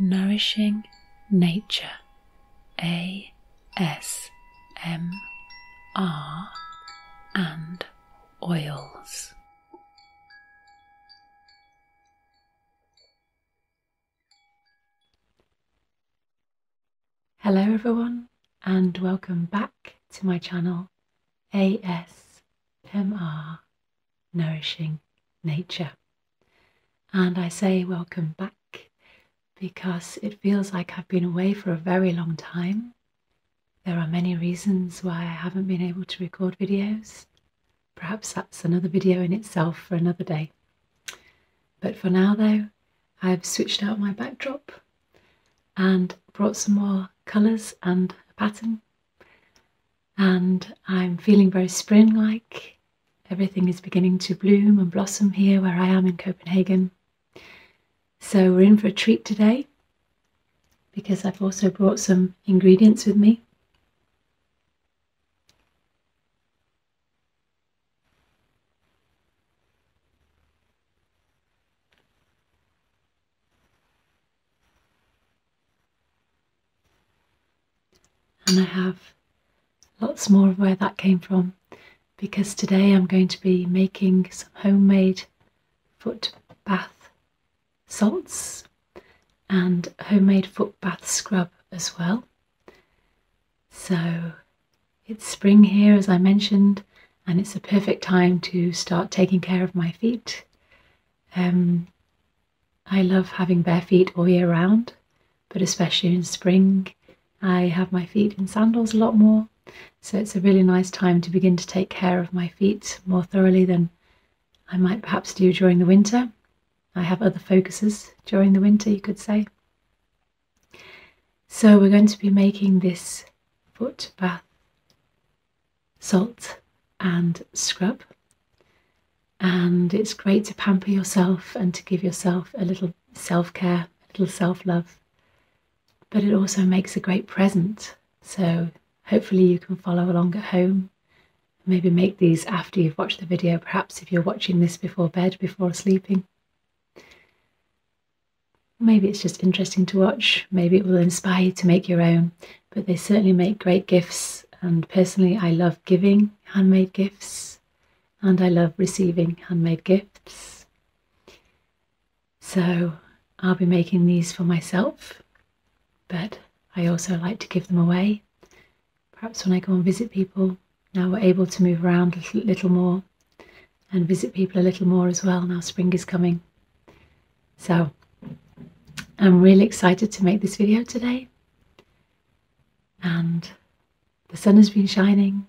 Nourishing Nature ASMR and Oils. Hello, everyone, and welcome back to my channel ASMR nourishing nature. And I say welcome back because it feels like I've been away for a very long time. There are many reasons why I haven't been able to record videos. Perhaps that's another video in itself for another day. But for now, though, I've switched out my backdrop and brought some more colours and a pattern and I'm feeling very spring like. Everything is beginning to bloom and blossom here where I am in Copenhagen. So we're in for a treat today because I've also brought some ingredients with me. And I have lots more of where that came from because today I'm going to be making some homemade foot bath salts and homemade foot bath scrub as well. So it's spring here as I mentioned and it's a perfect time to start taking care of my feet um, I love having bare feet all year round, but especially in spring, I have my feet in sandals a lot more. So it's a really nice time to begin to take care of my feet more thoroughly than I might perhaps do during the winter. I have other focuses during the winter, you could say. So we're going to be making this foot bath salt and scrub. And it's great to pamper yourself and to give yourself a little self care, a little self love. But it also makes a great present. So hopefully you can follow along at home. Maybe make these after you've watched the video, perhaps if you're watching this before bed, before sleeping. Maybe it's just interesting to watch. Maybe it will inspire you to make your own but they certainly make great gifts. And personally, I love giving handmade gifts and I love receiving handmade gifts. So I'll be making these for myself, but I also like to give them away. Perhaps when I go and visit people, now we're able to move around a little more and visit people a little more as well. Now spring is coming. So I'm really excited to make this video today. And the sun has been shining,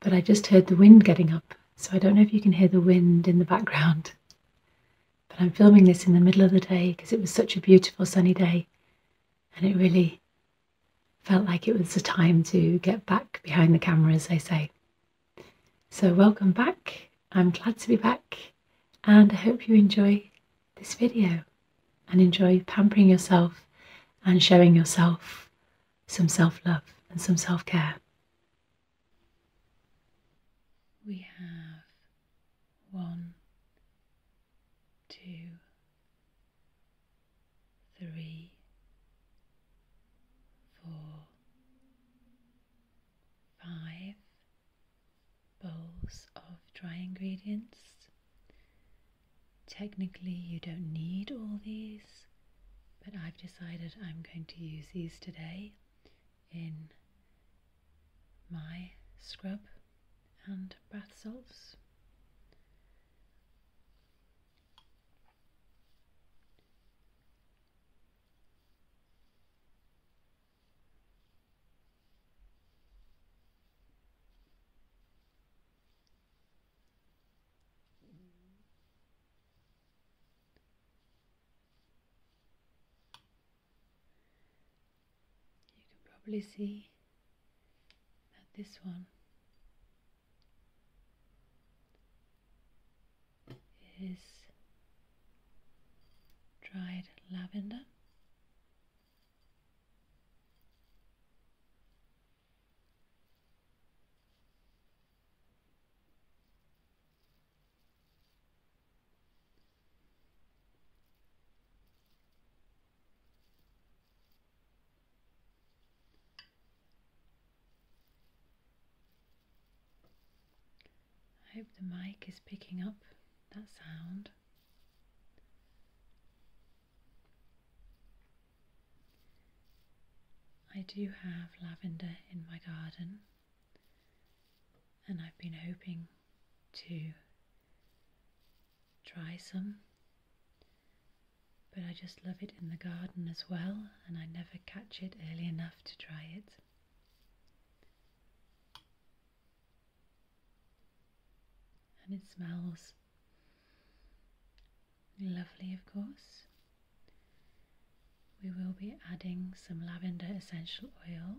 but I just heard the wind getting up. So I don't know if you can hear the wind in the background. But I'm filming this in the middle of the day because it was such a beautiful sunny day. And it really felt like it was the time to get back behind the camera, as they say. So, welcome back. I'm glad to be back and I hope you enjoy this video and enjoy pampering yourself and showing yourself some self love and some self care. We have one, two, three, four, five bowls of dry ingredients. Technically, you don't need all these, but I've decided I'm going to use these today in my scrub and bath salts. You can probably see that this one is dried lavender. I hope the mic is picking up that sound. I do have lavender in my garden, and I've been hoping to try some, but I just love it in the garden as well, and I never catch it early enough to try it and it smells lovely, of course. We will be adding some lavender essential oil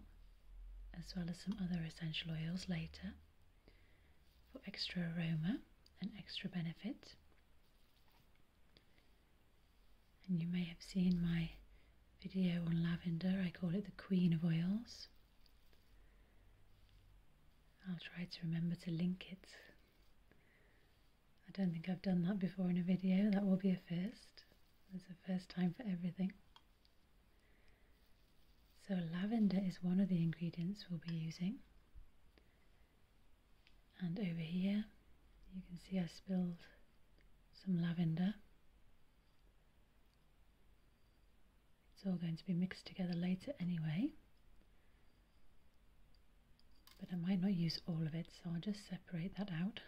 as well as some other essential oils later for extra aroma and extra benefit and you may have seen my video on lavender, I call it the queen of oils. I'll try to remember to link it. I don't think I've done that before in a video, that will be a first. It's the first time for everything. So lavender is one of the ingredients we'll be using. And over here, you can see I spilled some lavender. It's all going to be mixed together later anyway. But I might not use all of it, so I'll just separate that out.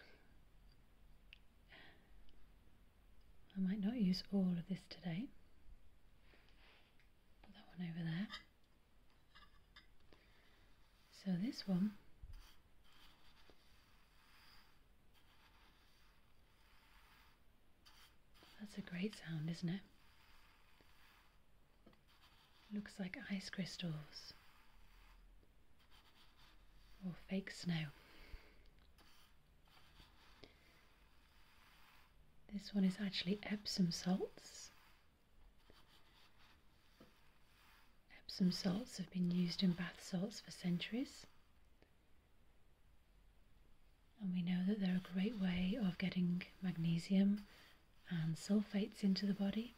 I might not use all of this today. Put that one over there. So this one That's a great sound, isn't it? Looks like ice crystals or fake snow. This one is actually Epsom salts. Epsom salts have been used in bath salts for centuries. And we know that they're a great way of getting magnesium and sulfates into the body.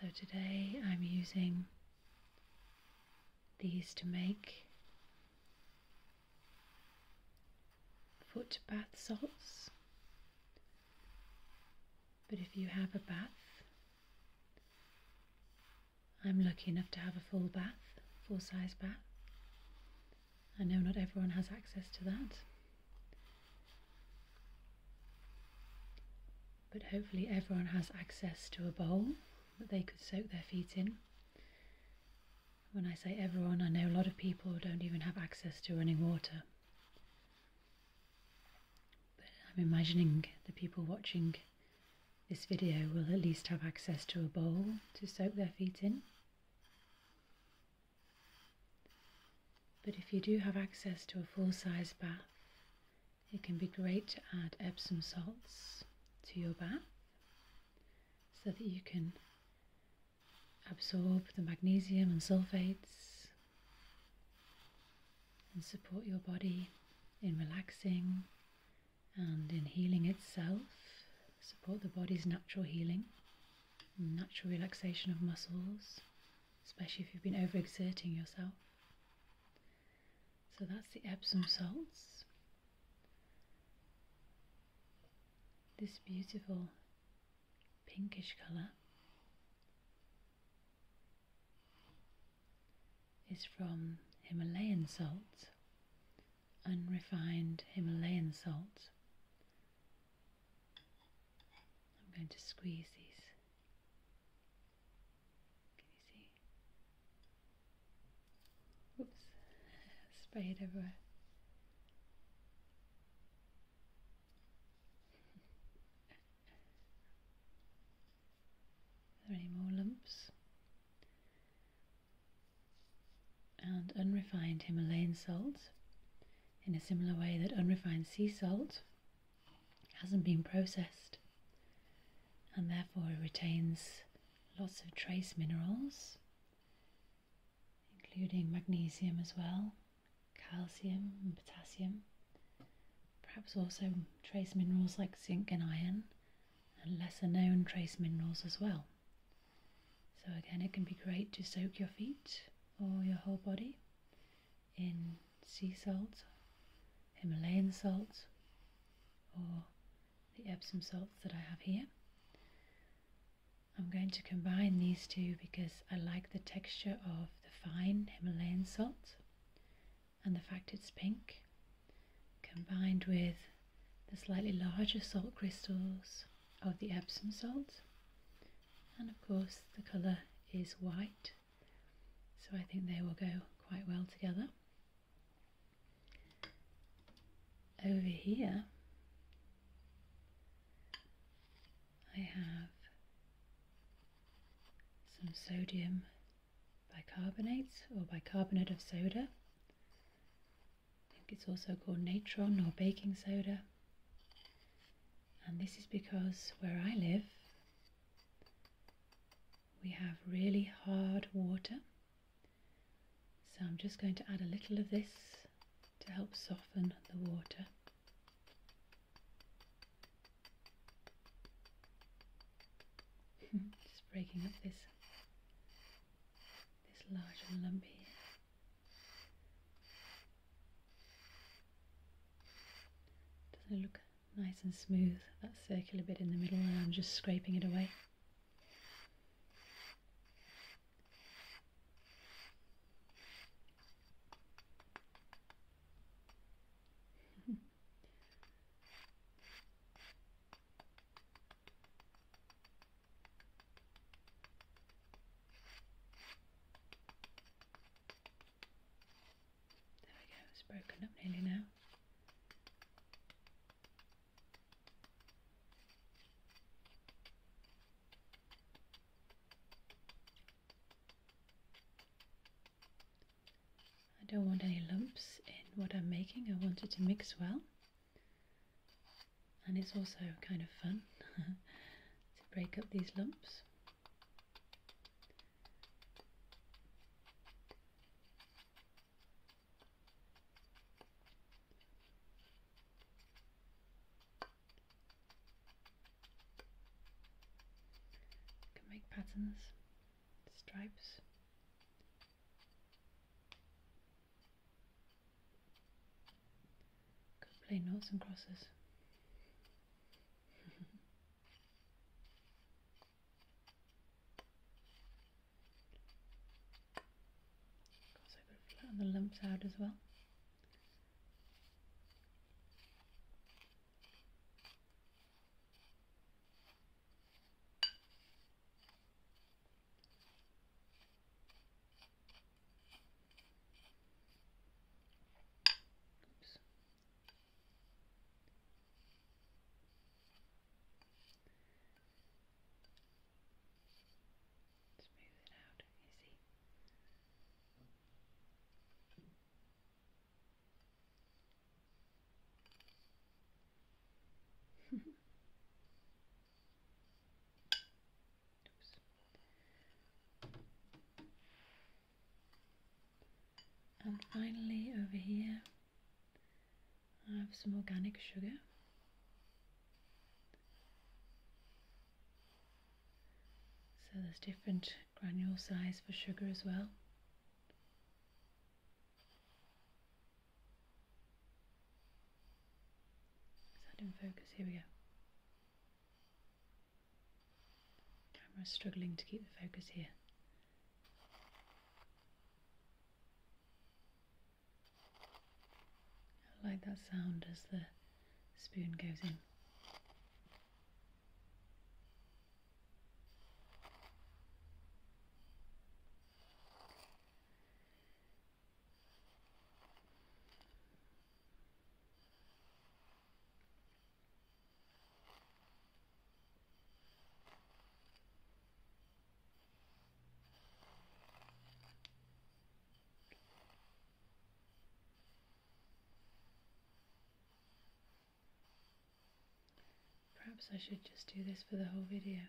So today I'm using these to make foot bath salts. But if you have a bath, I'm lucky enough to have a full bath, full size bath. I know not everyone has access to that. But hopefully, everyone has access to a bowl that they could soak their feet in. When I say everyone, I know a lot of people don't even have access to running water. But I'm imagining the people watching this video will at least have access to a bowl to soak their feet in. But if you do have access to a full-size bath, it can be great to add Epsom salts to your bath so that you can absorb the magnesium and sulfates and support your body in relaxing and in healing itself, support the body's natural healing, natural relaxation of muscles, especially if you've been overexerting yourself. So that's the Epsom salts. This beautiful pinkish colour is from Himalayan salt, unrefined Himalayan salt. I'm going to squeeze these. Can you see? Oops, spray everywhere. Are there any more lumps? And unrefined Himalayan salt, in a similar way that unrefined sea salt hasn't been processed and therefore it retains lots of trace minerals, including magnesium as well, calcium and potassium, perhaps also trace minerals like zinc and iron, and lesser known trace minerals as well. So, again, it can be great to soak your feet or your whole body in sea salt, Himalayan salt, or the Epsom salts that I have here. I'm going to combine these two because I like the texture of the fine Himalayan salt and the fact it's pink combined with the slightly larger salt crystals of the Epsom salt and of course the colour is white so I think they will go quite well together. Over here, I have some sodium bicarbonate or bicarbonate of soda. I think it's also called natron or baking soda. And this is because where I live, we have really hard water so I'm just going to add a little of this to help soften the water. just breaking up this this large and lumpy here. Doesn't look nice and smooth, that circular bit in the middle I'm just scraping it away. There we go, it's broken up nearly now. I don't want any lumps in what I'm making, I want it to mix well. And it's also kind of fun to break up these lumps can make patterns, stripes. Could play noughts and crosses. Because I can flatten the lumps out as well. And finally, over here, I have some organic sugar. So there's different granule size for sugar as well. Is that in focus? Here we go. Camera's struggling to keep the focus here. I like that sound as the spoon goes in. Perhaps I should just do this for the whole video.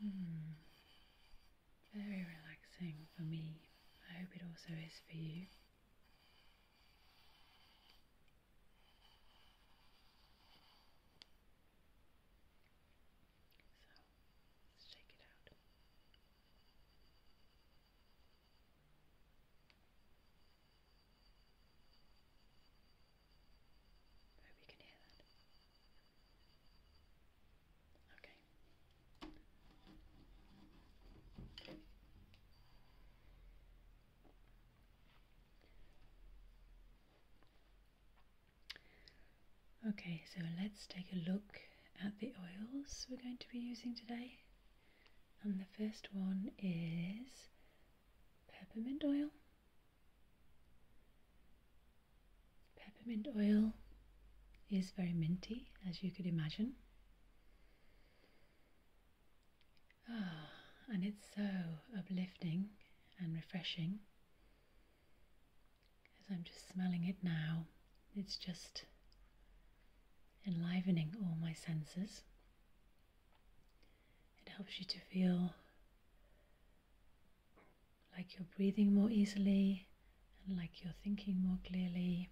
Hmm. Very relaxing for me. I hope it also is for you. So let's check it out. Okay. Okay, so let's take a look at the oils we're going to be using today. And the first one is peppermint oil. Peppermint oil is very minty, as you could imagine. Ah, and it's so uplifting and refreshing. As I'm just smelling it now, it's just enlivening all my senses. It helps you to feel like you're breathing more easily and like you're thinking more clearly.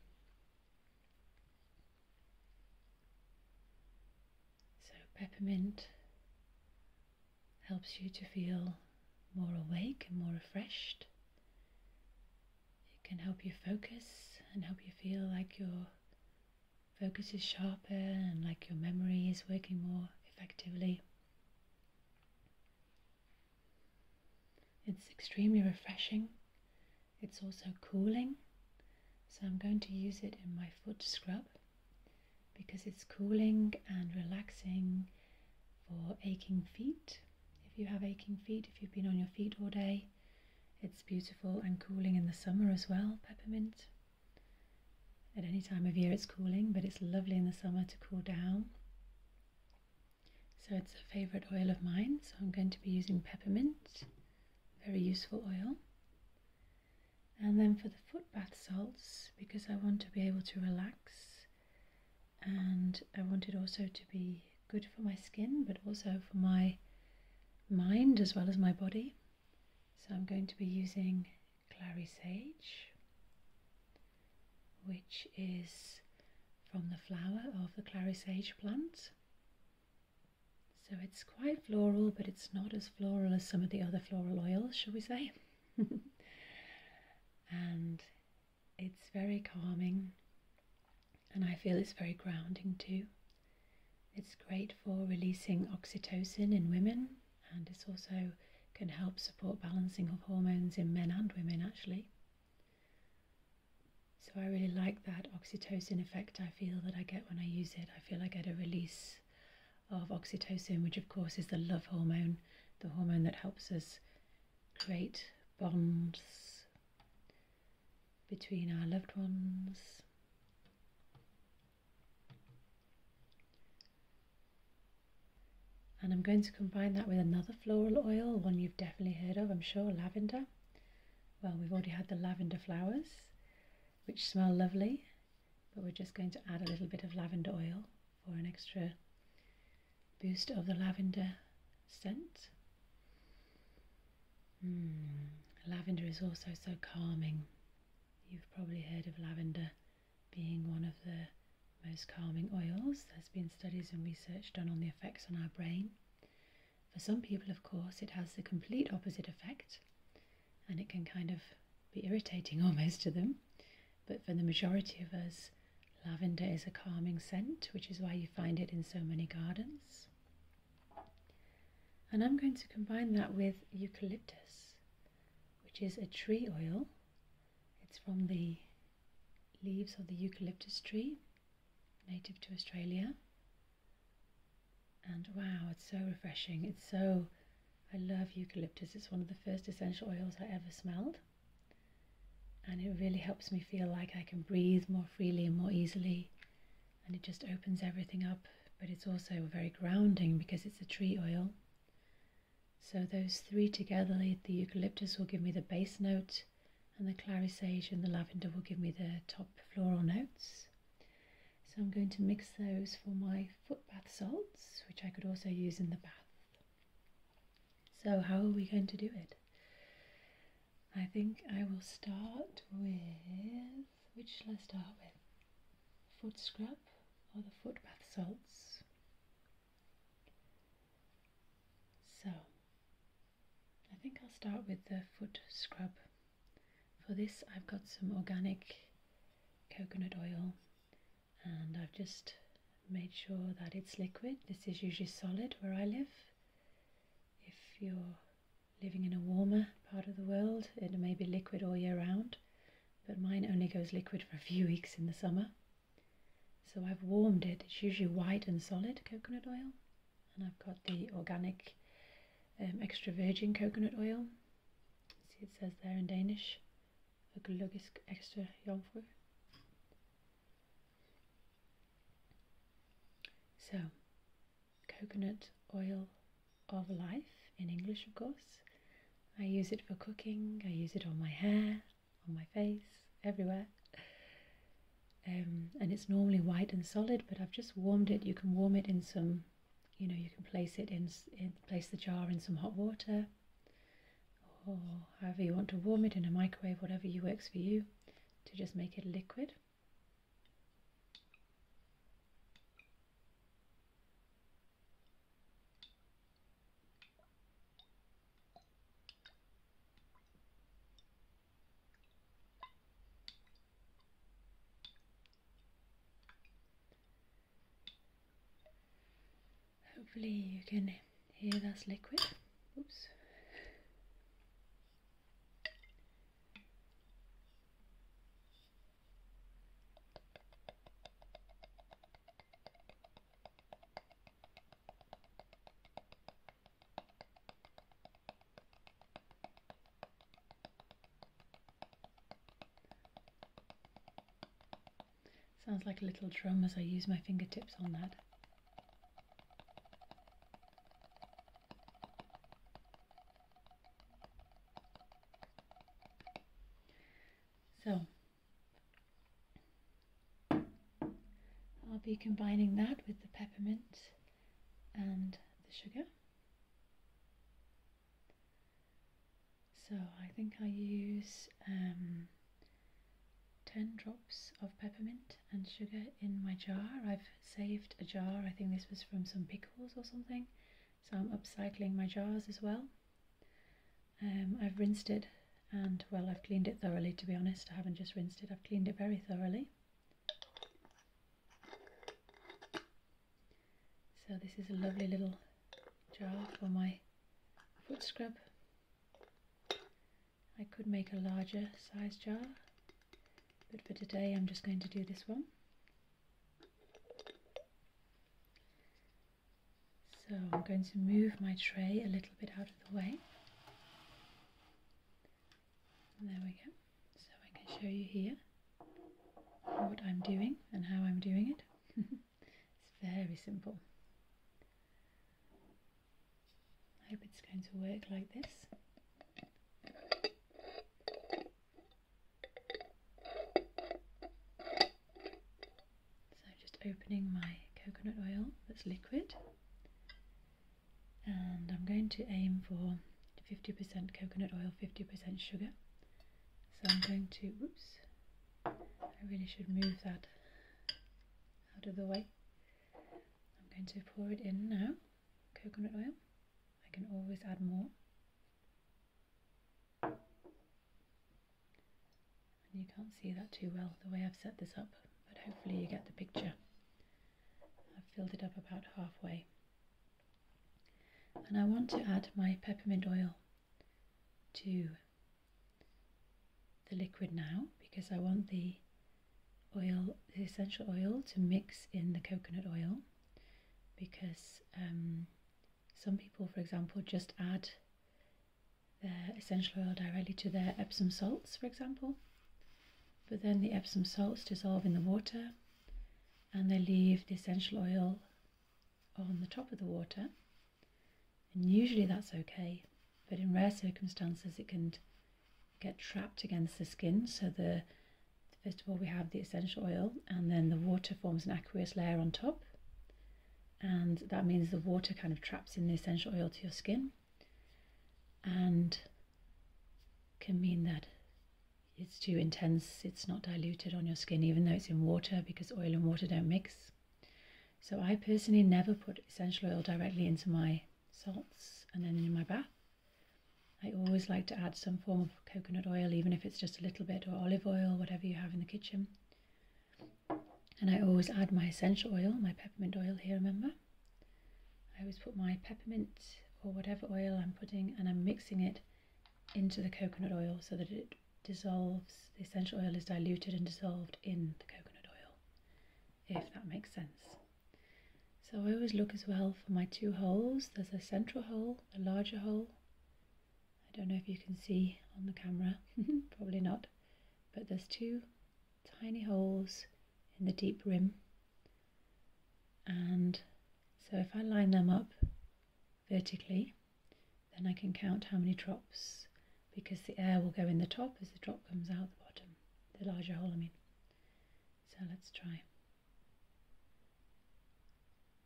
So, peppermint helps you to feel more awake and more refreshed. It can help you focus and help you feel like you're focus is sharper and like your memory is working more effectively. It's extremely refreshing. It's also cooling. So I'm going to use it in my foot scrub because it's cooling and relaxing for aching feet. If you have aching feet, if you've been on your feet all day, it's beautiful and cooling in the summer as well, peppermint. At any time of year it's cooling, but it's lovely in the summer to cool down. So it's a favourite oil of mine, so I'm going to be using peppermint, very useful oil. And then for the foot bath salts, because I want to be able to relax and I wanted also to be good for my skin, but also for my mind as well as my body. So I'm going to be using Clary Sage, which is from the flower of the Clary Sage plant. So it's quite floral, but it's not as floral as some of the other floral oils, shall we say. and it's very calming, and I feel it's very grounding too. It's great for releasing oxytocin in women, and it's also can help support balancing of hormones in men and women actually. So I really like that oxytocin effect I feel that I get when I use it. I feel I get a release of oxytocin, which of course is the love hormone, the hormone that helps us create bonds between our loved ones and I'm going to combine that with another floral oil, one you've definitely heard of, I'm sure, lavender. Well, we've already had the lavender flowers, which smell lovely, but we're just going to add a little bit of lavender oil for an extra boost of the lavender scent. Mm, lavender is also so calming. You've probably heard of lavender being one of the most calming oils. There's been studies and research done on the effects on our brain. For some people, of course, it has the complete opposite effect and it can kind of be irritating almost to them. But for the majority of us, lavender is a calming scent, which is why you find it in so many gardens. And I'm going to combine that with eucalyptus, which is a tree oil. It's from the leaves of the eucalyptus tree, native to Australia. And wow, it's so refreshing. It's so, I love eucalyptus. It's one of the first essential oils I ever smelled. And it really helps me feel like I can breathe more freely and more easily and it just opens everything up. But it's also very grounding because it's a tree oil. So those three together, the eucalyptus will give me the base note, and the clary sage and the lavender will give me the top floral notes. So I'm going to mix those for my foot bath salts, which I could also use in the bath. So how are we going to do it? I think I will start with which shall I start with? Foot scrub or the foot bath salts? So, I think I'll start with the foot scrub. For this, I've got some organic coconut oil and I've just made sure that it's liquid. This is usually solid where I live. If you're Living in a warmer part of the world, it may be liquid all year round, but mine only goes liquid for a few weeks in the summer. So I've warmed it. It's usually white and solid coconut oil, and I've got the organic um, extra virgin coconut oil. See, it says there in Danish, økologisk extra jomfru. So coconut oil of life in English, of course. I use it for cooking, I use it on my hair, on my face, everywhere. Um, and it's normally white and solid, but I've just warmed it. You can warm it in some, you know, you can place it in, place the jar in some hot water or however you want to warm it in a microwave, whatever works for you, to just make it liquid. Hopefully you can hear that's liquid. Oops. Sounds like a little drum as I use my fingertips on that. So I'll be combining that with the peppermint and the sugar. So I think I use um, 10 drops of peppermint and sugar in my jar. I've saved a jar, I think this was from some pickles or something so I'm upcycling my jars as well. Um, I've rinsed it and well I've cleaned it thoroughly to be honest I haven't just rinsed it I've cleaned it very thoroughly. So this is a lovely little jar for my foot scrub. I could make a larger size jar but for today I'm just going to do this one. So I'm going to move my tray a little bit out of the way. there we go. So I can show you here what I'm doing and how I'm doing it. it's very simple. I hope it's going to work like this. So just opening my coconut oil that's liquid and I'm going to aim for 50% coconut oil, 50% sugar. So I'm going to, oops, I really should move that out of the way. I'm going to pour it in now coconut oil. I can always add more. you can't see that too well the way I've set this up, but hopefully you get the picture. I've filled it up about halfway. And I want to add my peppermint oil to the liquid now because I want the oil, the essential oil to mix in the coconut oil because um, some people, for example, just add their essential oil directly to their Epsom salts, for example, but then the Epsom salts dissolve in the water and they leave the essential oil on the top of the water. And usually that's okay, but in rare circumstances it can get trapped against the skin, so the First of all, we have the essential oil, and then the water forms an aqueous layer on top. And that means the water kind of traps in the essential oil to your skin and can mean that it's too intense, it's not diluted on your skin, even though it's in water because oil and water don't mix. So I personally never put essential oil directly into my salts and then in my bath. I always like to add some form of coconut oil, even if it's just a little bit, or olive oil, whatever you have in the kitchen. And I always add my essential oil, my peppermint oil here, remember? I always put my peppermint or whatever oil I'm putting and I'm mixing it into the coconut oil so that it dissolves, the essential oil is diluted and dissolved in the coconut oil, if that makes sense. So I always look as well for my two holes. There's a central hole a larger hole. I don't know if you can see on the camera, probably not, but there's two tiny holes in the deep rim. And so if I line them up vertically, then I can count how many drops because the air will go in the top as the drop comes out the bottom, the larger hole I mean. So let's try.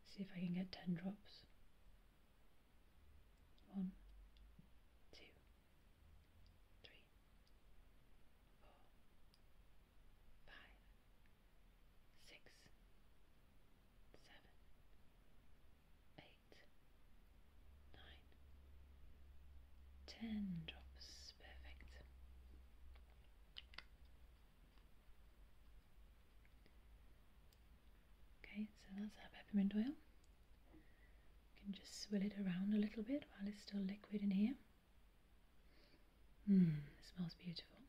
See if I can get 10 drops. One, two, three, four, five, six, seven, eight, nine, ten drops. Perfect. Okay, so that's our peppermint oil. You can just swill it around a little bit while it's still liquid in here. Mmm, it smells beautiful.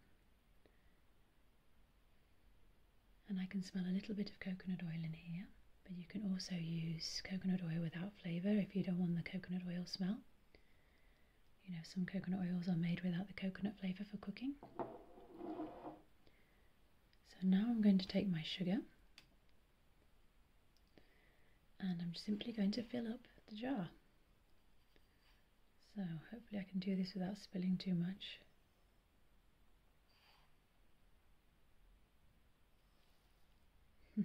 And I can smell a little bit of coconut oil in here, but you can also use coconut oil without flavour if you don't want the coconut oil smell. You know, some coconut oils are made without the coconut flavour for cooking. So now I'm going to take my sugar and I'm simply going to fill up the jar. So hopefully I can do this without spilling too much.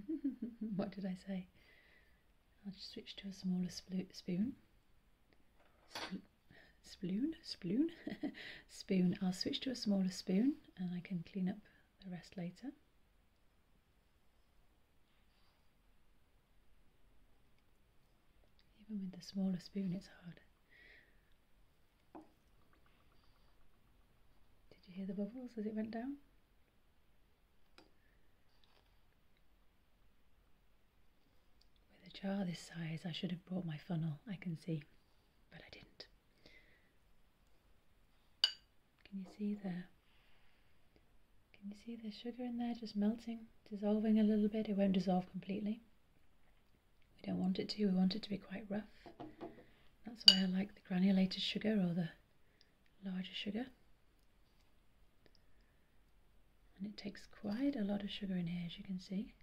what did I say? I'll switch to a smaller spoon. Spoon, spoon, Sploon? spoon. I'll switch to a smaller spoon and I can clean up the rest later. Even with the smaller spoon it's hard. Did you hear the bubbles as it went down? With a jar this size, I should have brought my funnel, I can see, but I didn't. Can you see there? Can you see the sugar in there just melting, dissolving a little bit? It won't dissolve completely. We don't want it to, we want it to be quite rough. That's why I like the granulated sugar or the larger sugar. And it takes quite a lot of sugar in here, as you can see.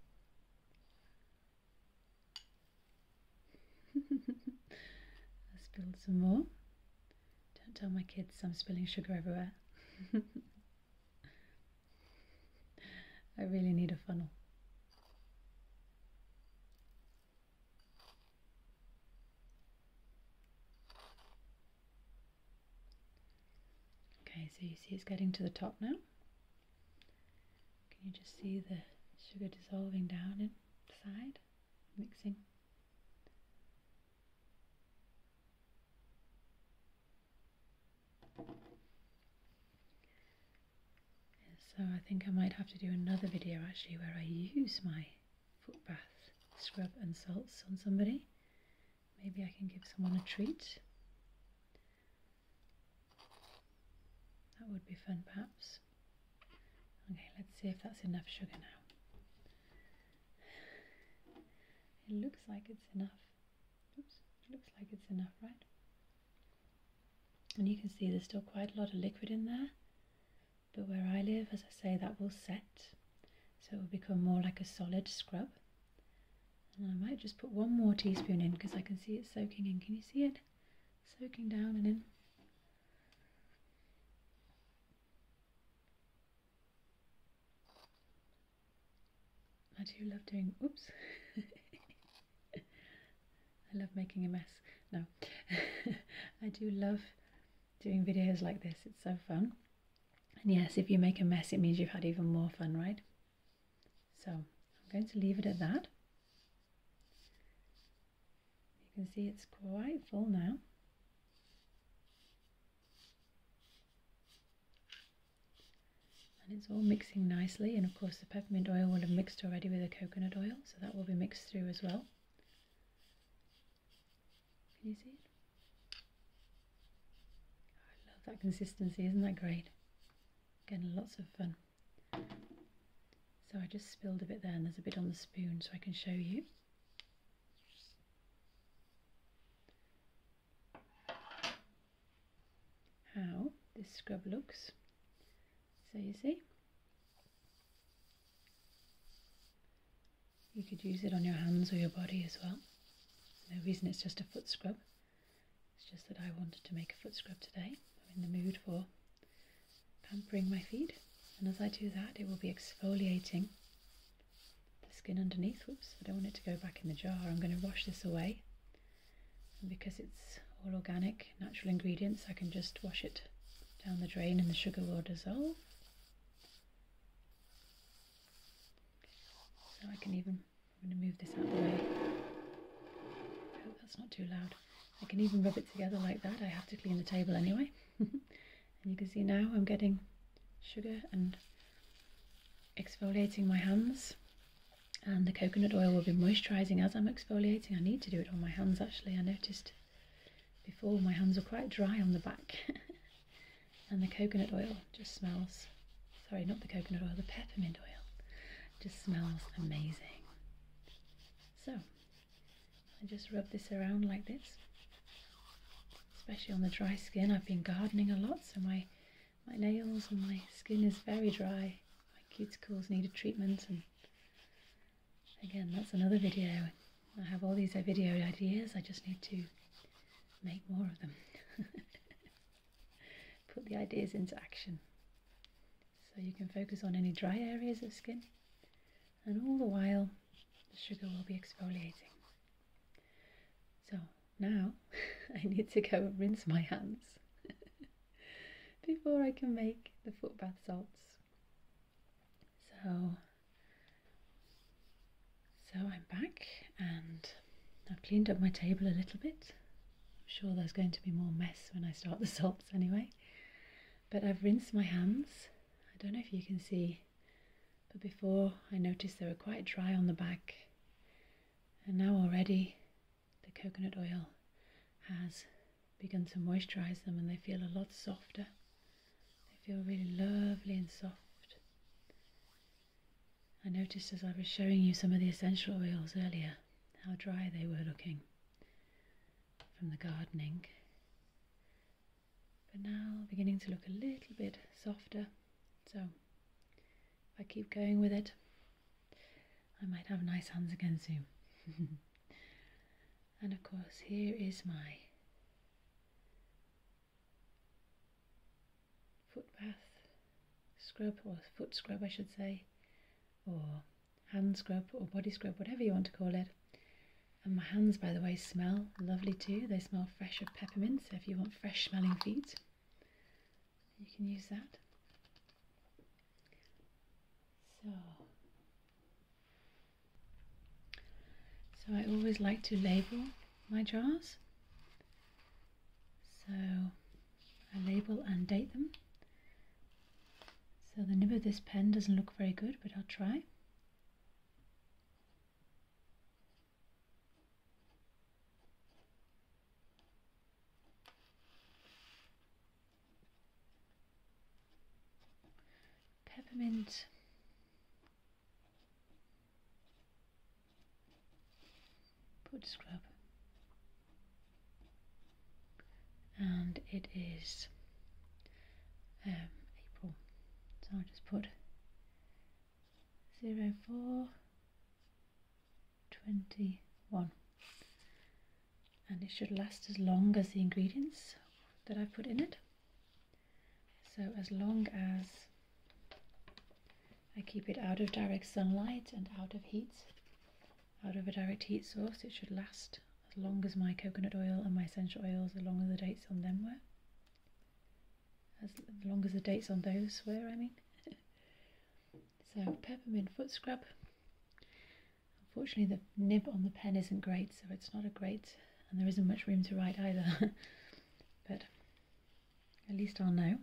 I spilled some more. Don't tell my kids I'm spilling sugar everywhere. I really need a funnel. Okay, so you see it's getting to the top now. Can you just see the sugar dissolving down inside, mixing? So I think I might have to do another video actually where I use my foot bath scrub and salts on somebody. Maybe I can give someone a treat. That would be fun perhaps. Okay, let's see if that's enough sugar now. It looks like it's enough. Oops, looks like it's enough, right? And you can see there's still quite a lot of liquid in there. But where I live, as I say, that will set so it will become more like a solid scrub. And I might just put one more teaspoon in because I can see it soaking in. Can you see it? Soaking down and in. I do love doing, oops, I love making a mess, no, I do love doing videos like this, it's so fun. And yes, if you make a mess, it means you've had even more fun, right? So I'm going to leave it at that. You can see it's quite full now. And it's all mixing nicely. And of course the peppermint oil will have mixed already with the coconut oil. So that will be mixed through as well. Can you see it? I love that consistency, isn't that great? Again, lots of fun. So I just spilled a bit there and there's a bit on the spoon so I can show you. How this scrub looks. So you see, you could use it on your hands or your body as well. no reason it's just a foot scrub. It's just that I wanted to make a foot scrub today. I'm in the mood for pampering my feet. And as I do that, it will be exfoliating the skin underneath. Whoops, I don't want it to go back in the jar. I'm going to wash this away. And because it's all organic, natural ingredients, I can just wash it down the drain and the sugar will dissolve. So oh, I can even, I'm going to move this out of the way. I hope that's not too loud. I can even rub it together like that. I have to clean the table anyway. and you can see now I'm getting sugar and exfoliating my hands. And the coconut oil will be moisturising as I'm exfoliating. I need to do it on my hands actually. I noticed before my hands were quite dry on the back. and the coconut oil just smells sorry not the coconut oil the peppermint oil just smells amazing so I just rub this around like this especially on the dry skin I've been gardening a lot so my my nails and my skin is very dry my cuticles need a treatment and again that's another video I have all these video ideas, I just need to make more of them. Put the ideas into action. So you can focus on any dry areas of skin, and all the while, the sugar will be exfoliating. So now I need to go and rinse my hands before I can make the foot bath salts. So so I'm back and I've cleaned up my table a little bit. I'm sure there's going to be more mess when I start the salts anyway. But I've rinsed my hands. I don't know if you can see, but before I noticed they were quite dry on the back. And now already the coconut oil has begun to moisturize them and they feel a lot softer. They feel really lovely and soft. I noticed as I was showing you some of the essential oils earlier how dry they were looking from the gardening. But now beginning to look a little bit softer. So if I keep going with it, I might have nice hands again soon. and of course, here is my foot bath scrub or foot scrub I should say or hand scrub or body scrub whatever you want to call it and my hands by the way smell lovely too they smell fresh of peppermint so if you want fresh smelling feet you can use that so so I always like to label my jars. So I label and date them. So the nib of this pen doesn't look very good, but I'll try. Peppermint Put scrub. And it is um, April. So I'll just put 04 21 and it should last as long as the ingredients that I put in it so as long as I keep it out of direct sunlight and out of heat, out of a direct heat source, it should last as long as my coconut oil and my essential oils, as long as the dates on them were. As long as the dates on those were, I mean. so peppermint foot scrub. Unfortunately the nib on the pen isn't great, so it's not a great and there isn't much room to write either but at least I'll know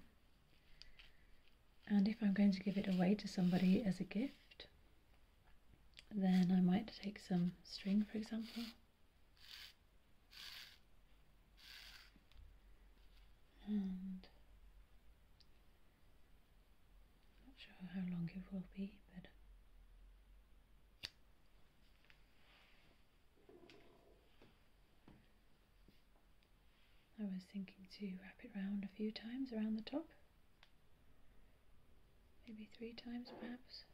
and if I'm going to give it away to somebody as a gift then I might take some string for example and not sure how long it will be but I was thinking to wrap it round a few times around the top, maybe three times perhaps.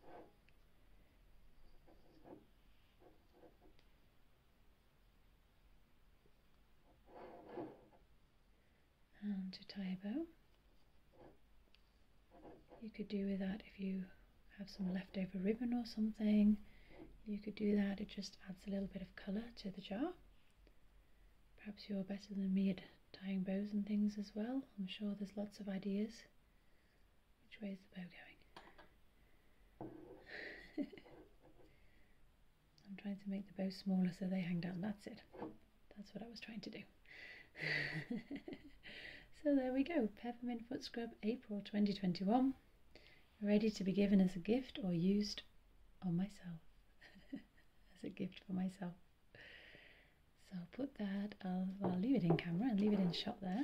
And to tie a bow. You could do with that if you have some leftover ribbon or something. You could do that, it just adds a little bit of colour to the jar. Perhaps you're better than me at tying bows and things as well. I'm sure there's lots of ideas. Which way is the bow going? I'm trying to make the bows smaller so they hang down. That's it. That's what I was trying to do. so there we go, Peppermint Foot Scrub April 2021, ready to be given as a gift or used on myself, as a gift for myself. So I'll put that, I'll leave it in camera and leave it in shot there.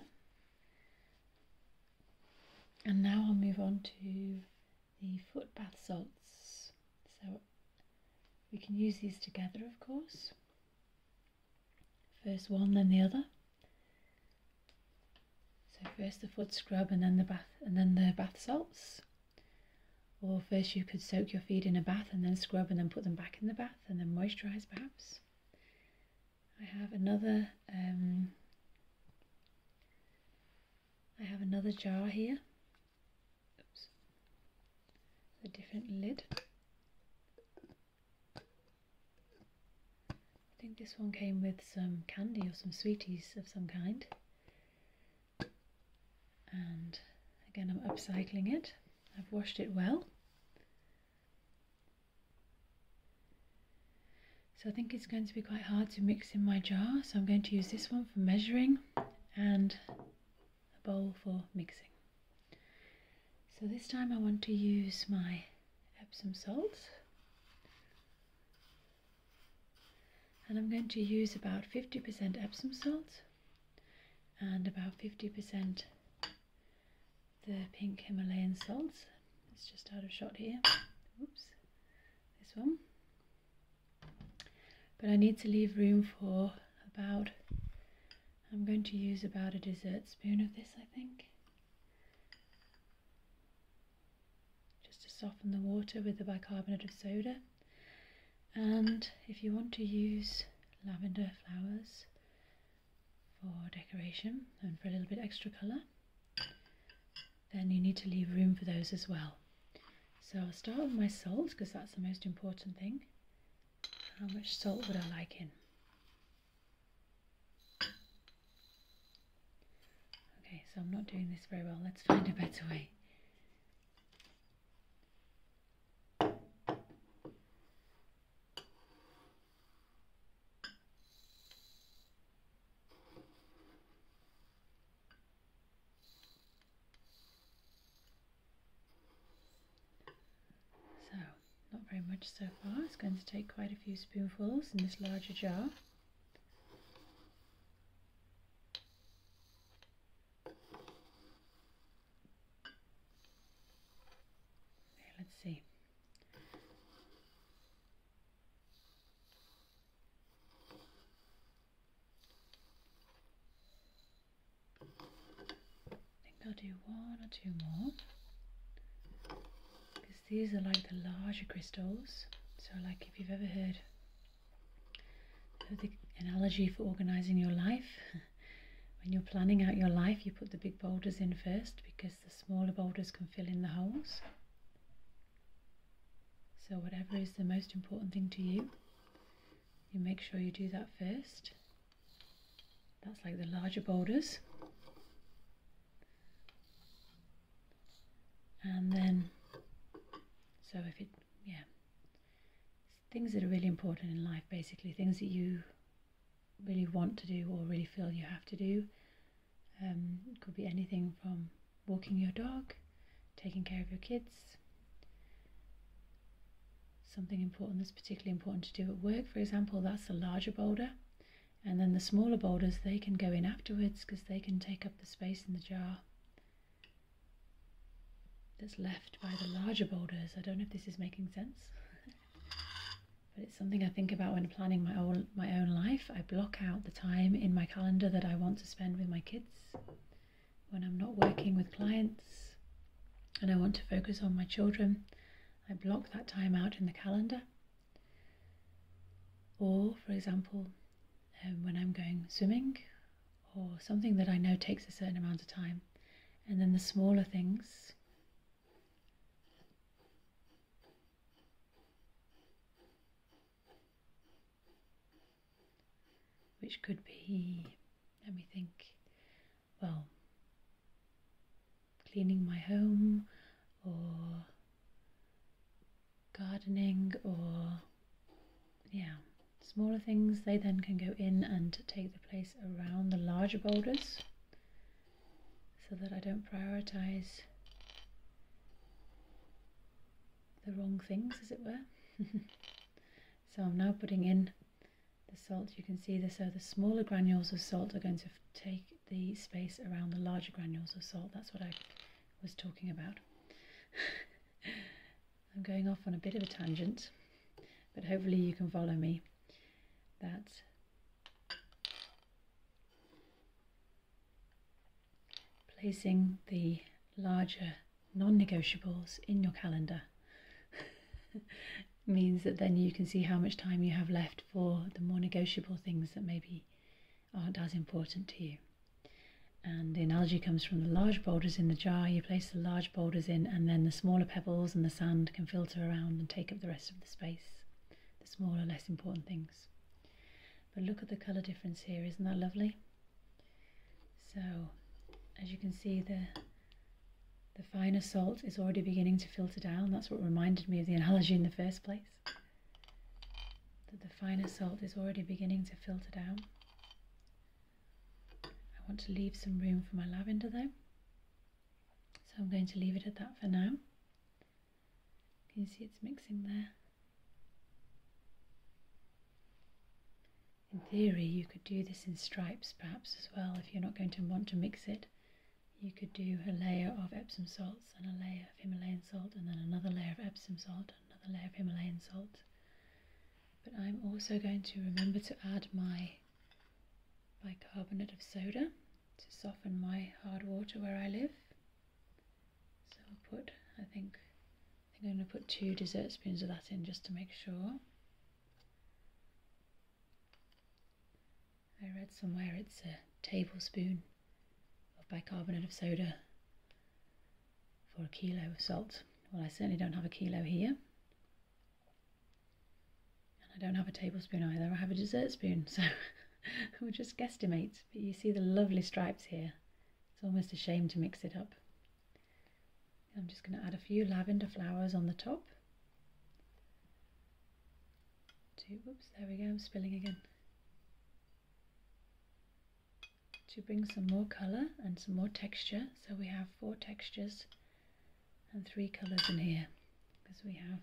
And now I'll move on to the foot bath salts. So we can use these together, of course. First one, then the other. So first the foot scrub and then the bath and then the bath salts. Or first you could soak your feet in a bath and then scrub and then put them back in the bath and then moisturize perhaps. I have another um, I have another jar here. A different lid. I think this one came with some candy or some sweeties of some kind. And again, I'm upcycling it. I've washed it well. So I think it's going to be quite hard to mix in my jar. So I'm going to use this one for measuring and a bowl for mixing. So this time I want to use my Epsom salts. And I'm going to use about 50% Epsom salt and about 50% the pink Himalayan salts. It's just out of shot here. Oops, this one. But I need to leave room for about I'm going to use about a dessert spoon of this, I think. Just to soften the water with the bicarbonate of soda. And if you want to use lavender flowers for decoration and for a little bit extra colour, then you need to leave room for those as well. So I'll start with my salt because that's the most important thing. How much salt would I like in? Okay, so I'm not doing this very well. Let's find a better way. So, not very much so far. It's going to take quite a few spoonfuls in this larger jar. Okay, let's see. I think I'll do one or two more because these are like the larger crystals. So, like if you've ever heard the analogy for organizing your life, when you're planning out your life, you put the big boulders in first because the smaller boulders can fill in the holes. So, whatever is the most important thing to you, you make sure you do that first. That's like the larger boulders. And then, so if it, yeah, things that are really important in life basically, things that you really want to do or really feel you have to do. it um, could be anything from walking your dog, taking care of your kids, something important that's particularly important to do at work, for example, that's the larger boulder. And then the smaller boulders, they can go in afterwards because they can take up the space in the jar that's left by the larger boulders. I don't know if this is making sense, but it's something I think about when planning my own, my own life. I block out the time in my calendar that I want to spend with my kids when I'm not working with clients and I want to focus on my children. I block that time out in the calendar. Or, for example, um, when I'm going swimming or something that I know takes a certain amount of time. And then the smaller things. Which could be, let me think, well, cleaning my home or gardening or yeah smaller things they then can go in and take the place around the larger boulders so that I don't prioritize the wrong things as it were so I'm now putting in the salt, you can see this, so the smaller granules of salt are going to take the space around the larger granules of salt. That's what I was talking about. I'm going off on a bit of a tangent, but hopefully you can follow me. That's placing the larger non-negotiables in your calendar means that then you can see how much time you have left for the more negotiable things that maybe aren't as important to you. And the analogy comes from the large boulders in the jar. You place the large boulders in, and then the smaller pebbles and the sand can filter around and take up the rest of the space, the smaller, less important things. But look at the colour difference here, isn't that lovely? So, as you can see, the the finer salt is already beginning to filter down. That's what reminded me of the analogy in the first place. That the finer salt is already beginning to filter down. I want to leave some room for my lavender though. So I'm going to leave it at that for now. Can you see it's mixing there? In theory, you could do this in stripes perhaps as well if you're not going to want to mix it. You could do a layer of Epsom salts and a layer of Himalayan salt and then another layer of Epsom salt, another layer of Himalayan salt. But I'm also going to remember to add my bicarbonate of soda to soften my hard water where I live. So I'll put, I think, I think I'm going to put two dessert spoons of that in just to make sure. I read somewhere it's a tablespoon of bicarbonate of soda for a kilo of salt. Well, I certainly don't have a kilo here. And I don't have a tablespoon either, I have a dessert spoon, so we'll just guesstimate. But you see the lovely stripes here. It's almost a shame to mix it up. I'm just going to add a few lavender flowers on the top. Two, there we go, I'm spilling again. To bring some more colour and some more texture. So we have four textures and three colours in here. Because we have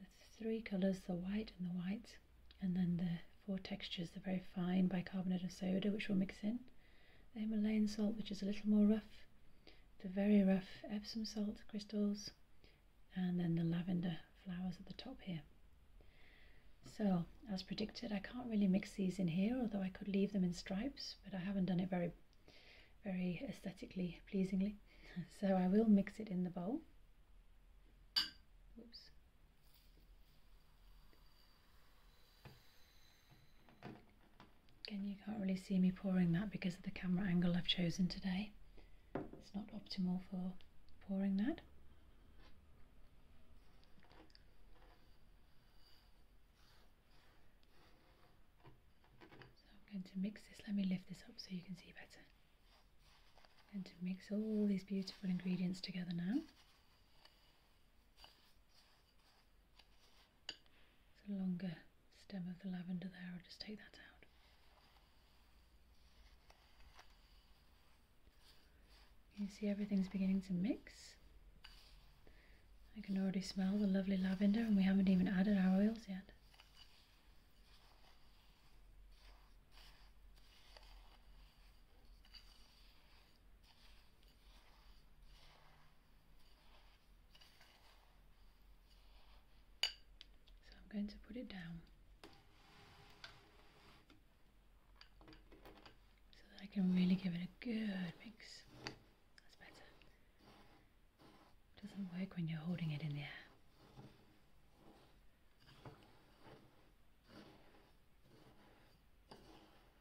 the three colours, the white and the white, and then the four textures, the very fine bicarbonate of soda, which we'll mix in the Himalayan salt, which is a little more rough, the very rough Epsom salt crystals, and then the lavender flowers at the top here. So, as predicted, I can't really mix these in here, although I could leave them in stripes, but I haven't done it very, very aesthetically pleasingly. So I will mix it in the bowl. Oops. Again, you can't really see me pouring that because of the camera angle I've chosen today. It's not optimal for pouring that. So I'm going to mix this. Let me lift this up so you can see better. i going to mix all these beautiful ingredients together now. It's a longer stem of the lavender there, I'll just take that out. You see everything's beginning to mix. I can already smell the lovely lavender and we haven't even added our oils yet. So I'm going to put it down so that I can really give it a good mix. That's better. doesn't work when you're holding it in the air.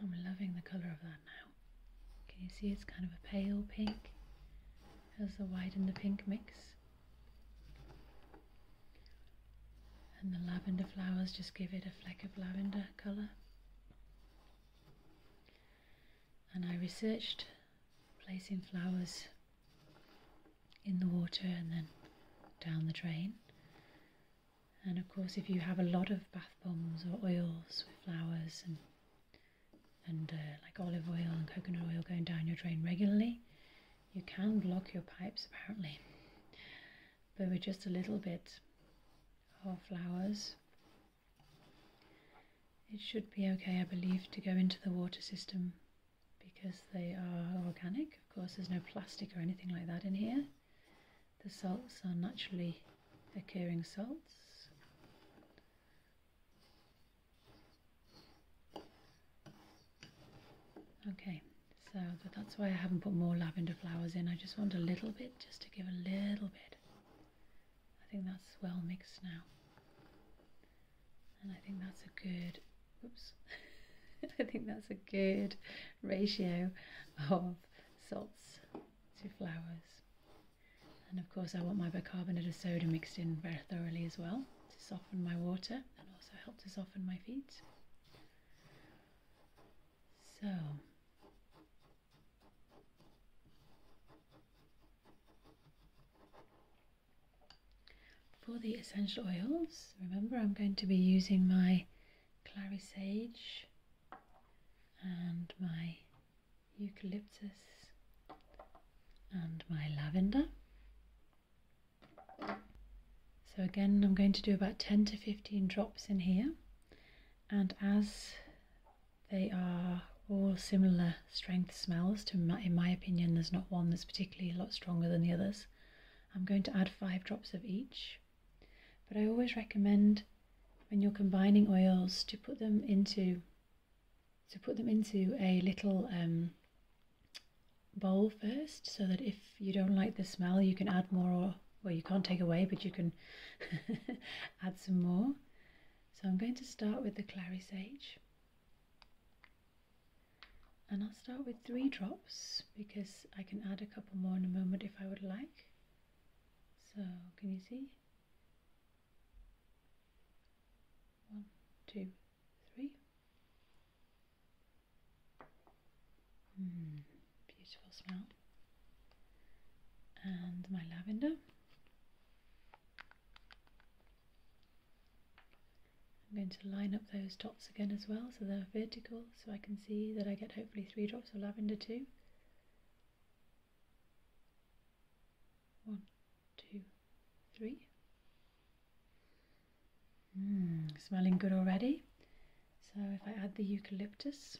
I'm loving the colour of that now. Can you see it's kind of a pale pink as the white and the pink mix? And the lavender flowers just give it a fleck of lavender colour. And I researched placing flowers in the water and then down the drain. And of course, if you have a lot of bath bombs or oils with flowers and and uh, like olive oil and coconut oil going down your drain regularly, you can block your pipes apparently. But with just a little bit of flowers, it should be okay, I believe, to go into the water system because they are organic. Of course, there's no plastic or anything like that in here. The salts are naturally occurring salts. Okay, so that's why I haven't put more lavender flowers in. I just want a little bit, just to give a little bit. I think that's well mixed now. And I think that's a good Oops. I think that's a good ratio of salts to flowers, And of course I want my bicarbonate of soda mixed in very thoroughly as well to soften my water and also help to soften my feet. So for the essential oils, remember I'm going to be using my clary sage and my eucalyptus and my lavender. So again, I'm going to do about 10 to 15 drops in here. And as they are all similar strength smells, to in my opinion, there's not one that's particularly a lot stronger than the others. I'm going to add five drops of each. But I always recommend when you're combining oils to put them into to put them into a little um, bowl first so that if you don't like the smell you can add more or well you can't take away but you can add some more so I'm going to start with the clary sage and I'll start with three drops because I can add a couple more in a moment if I would like. So, can you see? One, two, three. Mm, beautiful smell. And my lavender. I'm going to line up those dots again as well so they're vertical so I can see that I get hopefully three drops of lavender too. One, two, three. Hmm, smelling good already. So if I add the eucalyptus,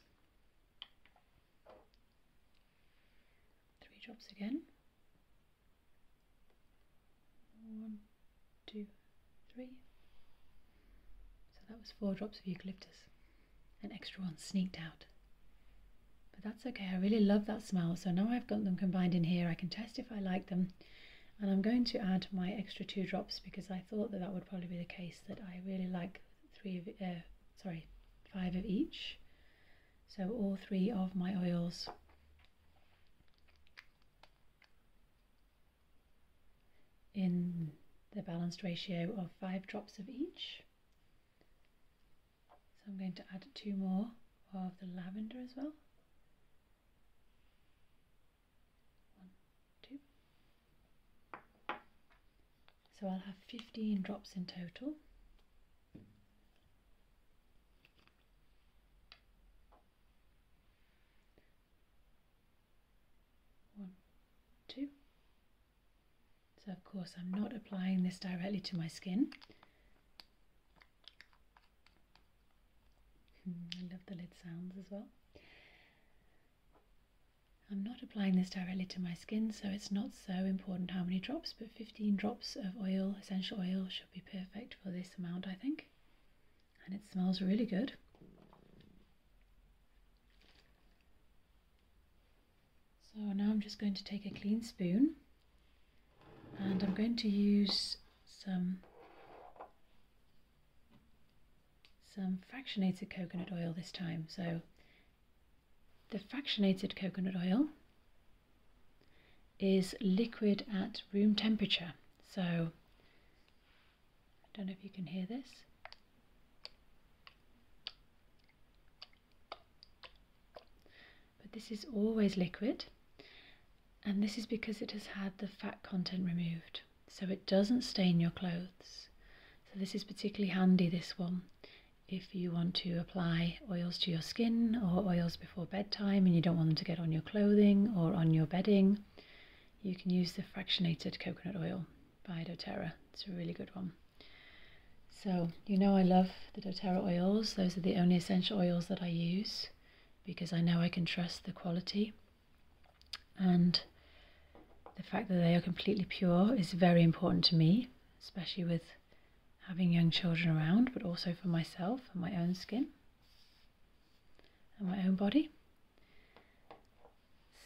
three drops again. One, two, three. So that was four drops of eucalyptus. An extra one sneaked out. But that's okay, I really love that smell. So now I've got them combined in here. I can test if I like them. And I'm going to add my extra two drops because I thought that that would probably be the case that I really like three of, uh, sorry, five of each. So all three of my oils in the balanced ratio of five drops of each. So I'm going to add two more of the lavender as well. One, two. So I'll have 15 drops in total. One, two. So of course I'm not applying this directly to my skin. Hmm, I love the lid sounds as well. I'm not applying this directly to my skin, so it's not so important how many drops, but 15 drops of oil, essential oil, should be perfect for this amount, I think and it smells really good. So now I'm just going to take a clean spoon and I'm going to use some some fractionated coconut oil this time. So the fractionated coconut oil is liquid at room temperature. So I don't know if you can hear this. But this is always liquid and this is because it has had the fat content removed so it doesn't stain your clothes. So this is particularly handy this one if you want to apply oils to your skin or oils before bedtime and you don't want them to get on your clothing or on your bedding you can use the fractionated coconut oil by doTERRA. It's a really good one. So, you know I love the doTERRA oils. Those are the only essential oils that I use because I know I can trust the quality. And the fact that they are completely pure is very important to me, especially with having young children around, but also for myself and my own skin my own body.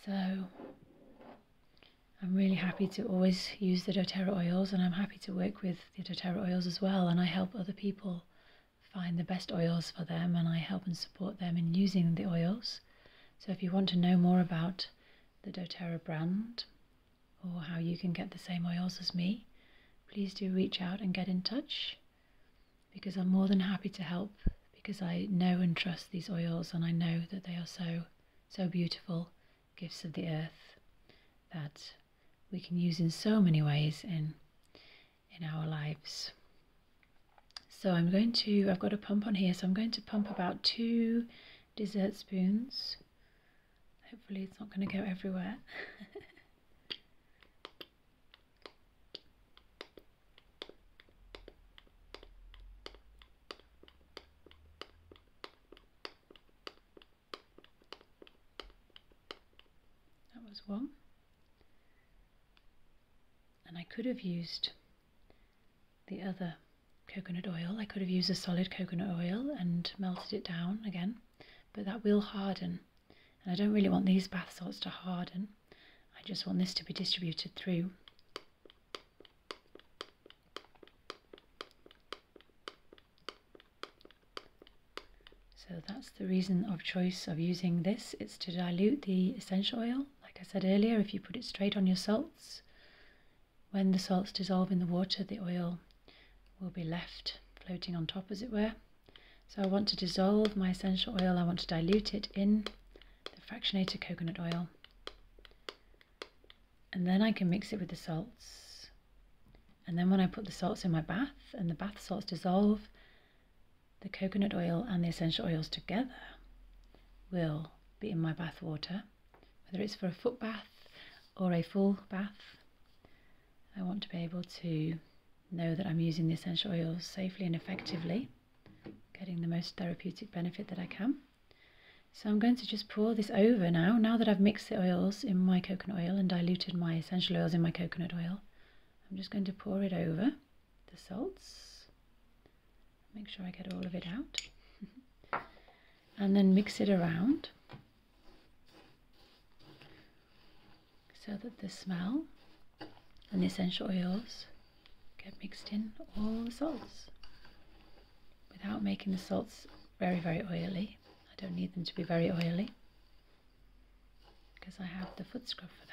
So I'm really happy to always use the doTERRA oils and I'm happy to work with the doTERRA oils as well and I help other people find the best oils for them and I help and support them in using the oils. So if you want to know more about the doTERRA brand or how you can get the same oils as me, please do reach out and get in touch because I'm more than happy to help because I know and trust these oils and I know that they are so, so beautiful gifts of the earth that we can use in so many ways in in our lives. So I'm going to, I've got a pump on here, so I'm going to pump about two dessert spoons. Hopefully it's not going to go everywhere. That was one. And I could have used the other coconut oil. I could have used a solid coconut oil and melted it down again, but that will harden and I don't really want these bath salts to harden. I just want this to be distributed through. So that's the reason of choice of using this. It's to dilute the essential oil. Like I said earlier, if you put it straight on your salts, when the salts dissolve in the water, the oil will be left floating on top, as it were. So I want to dissolve my essential oil, I want to dilute it in the fractionated coconut oil. And then I can mix it with the salts. And then when I put the salts in my bath and the bath salts dissolve, the coconut oil and the essential oils together will be in my bath water, whether it's for a foot bath or a full bath. I want to be able to know that I'm using the essential oils safely and effectively, getting the most therapeutic benefit that I can. So I'm going to just pour this over now. Now that I've mixed the oils in my coconut oil and diluted my essential oils in my coconut oil, I'm just going to pour it over the salts. Make sure I get all of it out. and then mix it around so that the smell and the essential oils get mixed in all the salts without making the salts very, very oily. I don't need them to be very oily because I have the foot scrub for that.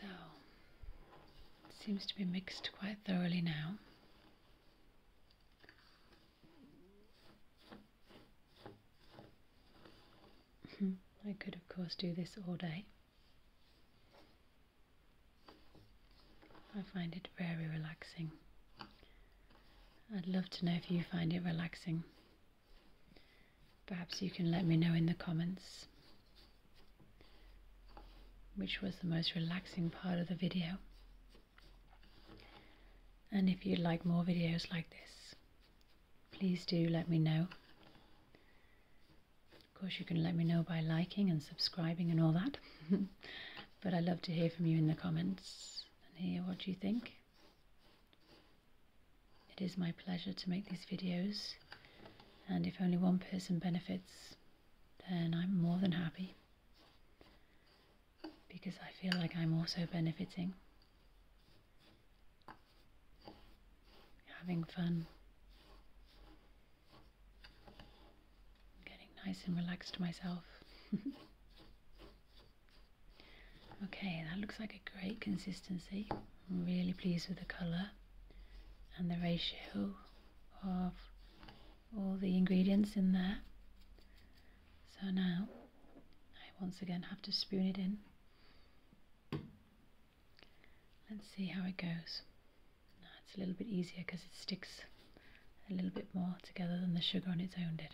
So, seems to be mixed quite thoroughly now. Hmm, I could, of course, do this all day. I find it very relaxing I'd love to know if you find it relaxing. Perhaps you can let me know in the comments which was the most relaxing part of the video. And if you'd like more videos like this, please do let me know. Of course, you can let me know by liking and subscribing and all that. But I love to hear from you in the comments and hear what you think. It is my pleasure to make these videos, and if only one person benefits, then I'm more than happy because I feel like I'm also benefiting. Having fun getting nice and relaxed myself. okay, that looks like a great consistency. I'm really pleased with the colour and the ratio of all the ingredients in there. So now I once again have to spoon it in. Let's see how it goes it's a little bit easier because it sticks a little bit more together than the sugar on its own did.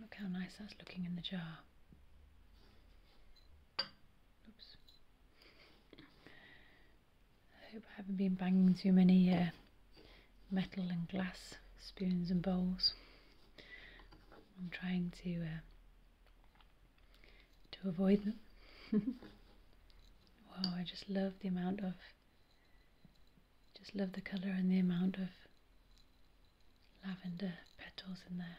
Look how nice that's looking in the jar. Oops. I hope I haven't been banging too many uh, metal and glass spoons and bowls. I'm trying to uh, to avoid them. wow, I just love the amount of, just love the color and the amount of lavender petals in there.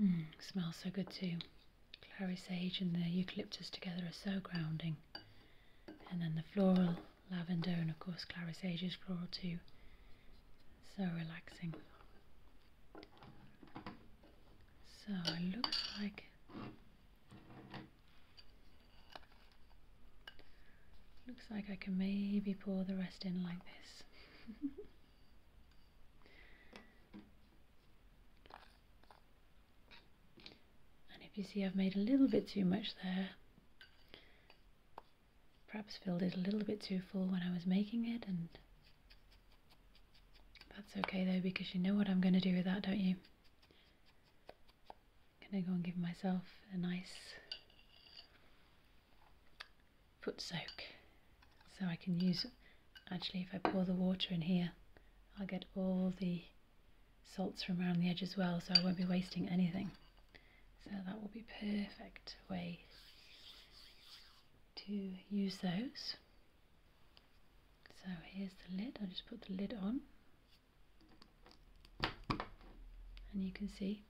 Mm, smells so good too. Clary sage and the eucalyptus together are so grounding. And then the floral lavender and of course clary sage is floral too. So relaxing. So it looks like Looks like I can maybe pour the rest in like this. and if you see I've made a little bit too much there, perhaps filled it a little bit too full when I was making it and that's okay though because you know what I'm going to do with that, don't you? Can i go and give myself a nice foot soak so I can use actually if I pour the water in here I'll get all the salts from around the edge as well so I won't be wasting anything so that will be perfect way to use those so here's the lid I'll just put the lid on and you can see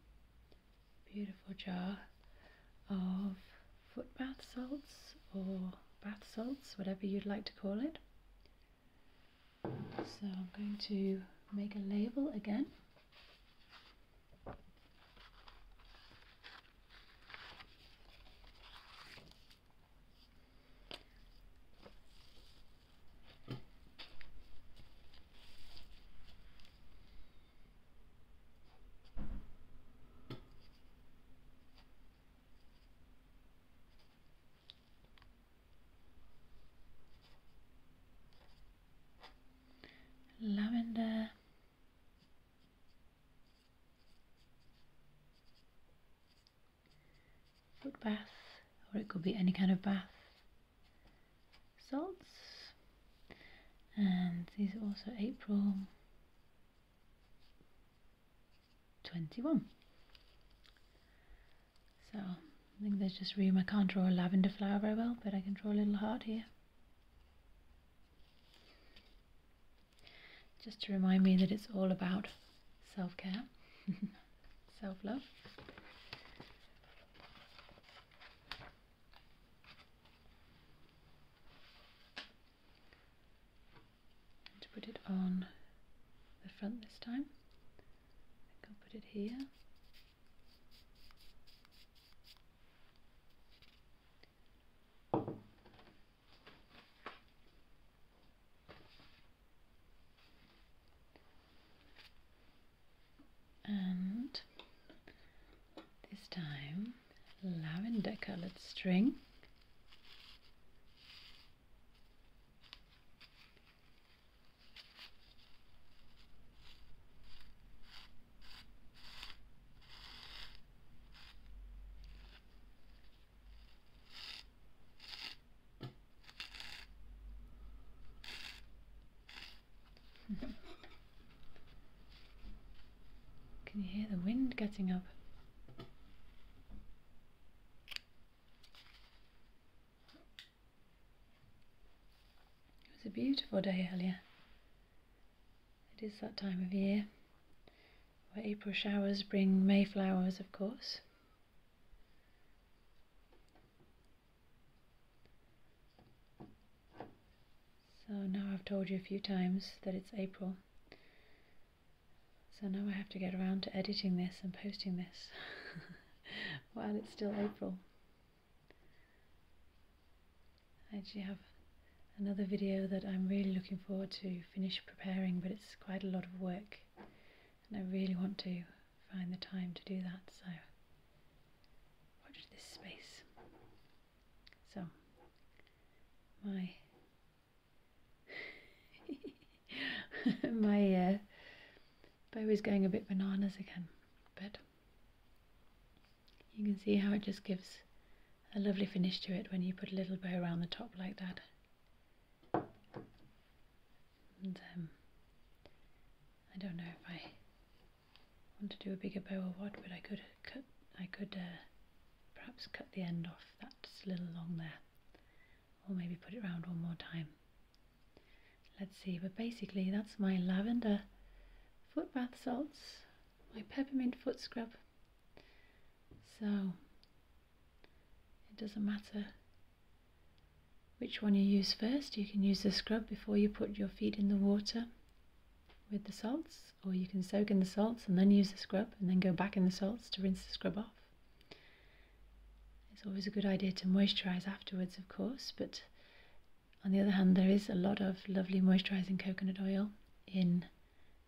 beautiful jar of foot bath salts or bath salts whatever you'd like to call it so I'm going to make a label again lavender foot bath, or it could be any kind of bath salts. And these are also April 21. So I think there's just room. I can't draw a lavender flower very well, but I can draw a little heart here. Just to remind me that it's all about self-care. self love. to put it on the front this time, I can put it here and this time lavender colored string Can you hear the wind getting up? It was a beautiful day earlier. It is that time of year where April showers bring May flowers, of course. So now I've told you a few times that it's April. So now I have to get around to editing this and posting this while it's still April. I actually have another video that I'm really looking forward to finish preparing, but it's quite a lot of work and I really want to find the time to do that so watch this space so my my uh, bow is going a bit bananas again but you can see how it just gives a lovely finish to it when you put a little bow around the top like that and um, I don't know if I want to do a bigger bow or what, but I could uh, cut, I could uh, perhaps cut the end off that's a little long there, or maybe put it around one more time. Let's see, but basically that's my lavender foot bath salts, my peppermint foot scrub. So it doesn't matter which one you use first. You can use the scrub before you put your feet in the water with the salts, or you can soak in the salts and then use the scrub and then go back in the salts to rinse the scrub off. It's always a good idea to moisturise afterwards, of course, but on the other hand, there is a lot of lovely moisturising coconut oil in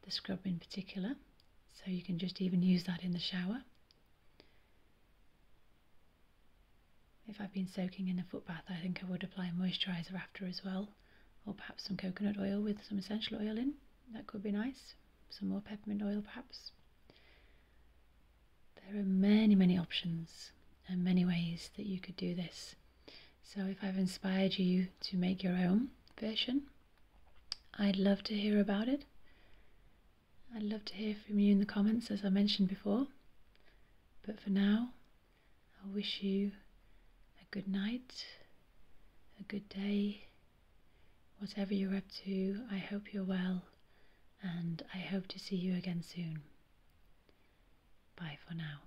the scrub in particular, so you can just even use that in the shower if I've been soaking in a foot bath, I think I would apply a moisturiser after as well, or perhaps some coconut oil with some essential oil in. That could be nice. Some more peppermint oil, perhaps. There are many, many options and many ways that you could do this. So, if I've inspired you to make your own version, I'd love to hear about it. I'd love to hear from you in the comments, as I mentioned before. But for now, I wish you a good night, a good day, whatever you're up to. I hope you're well, and I hope to see you again soon. Bye for now.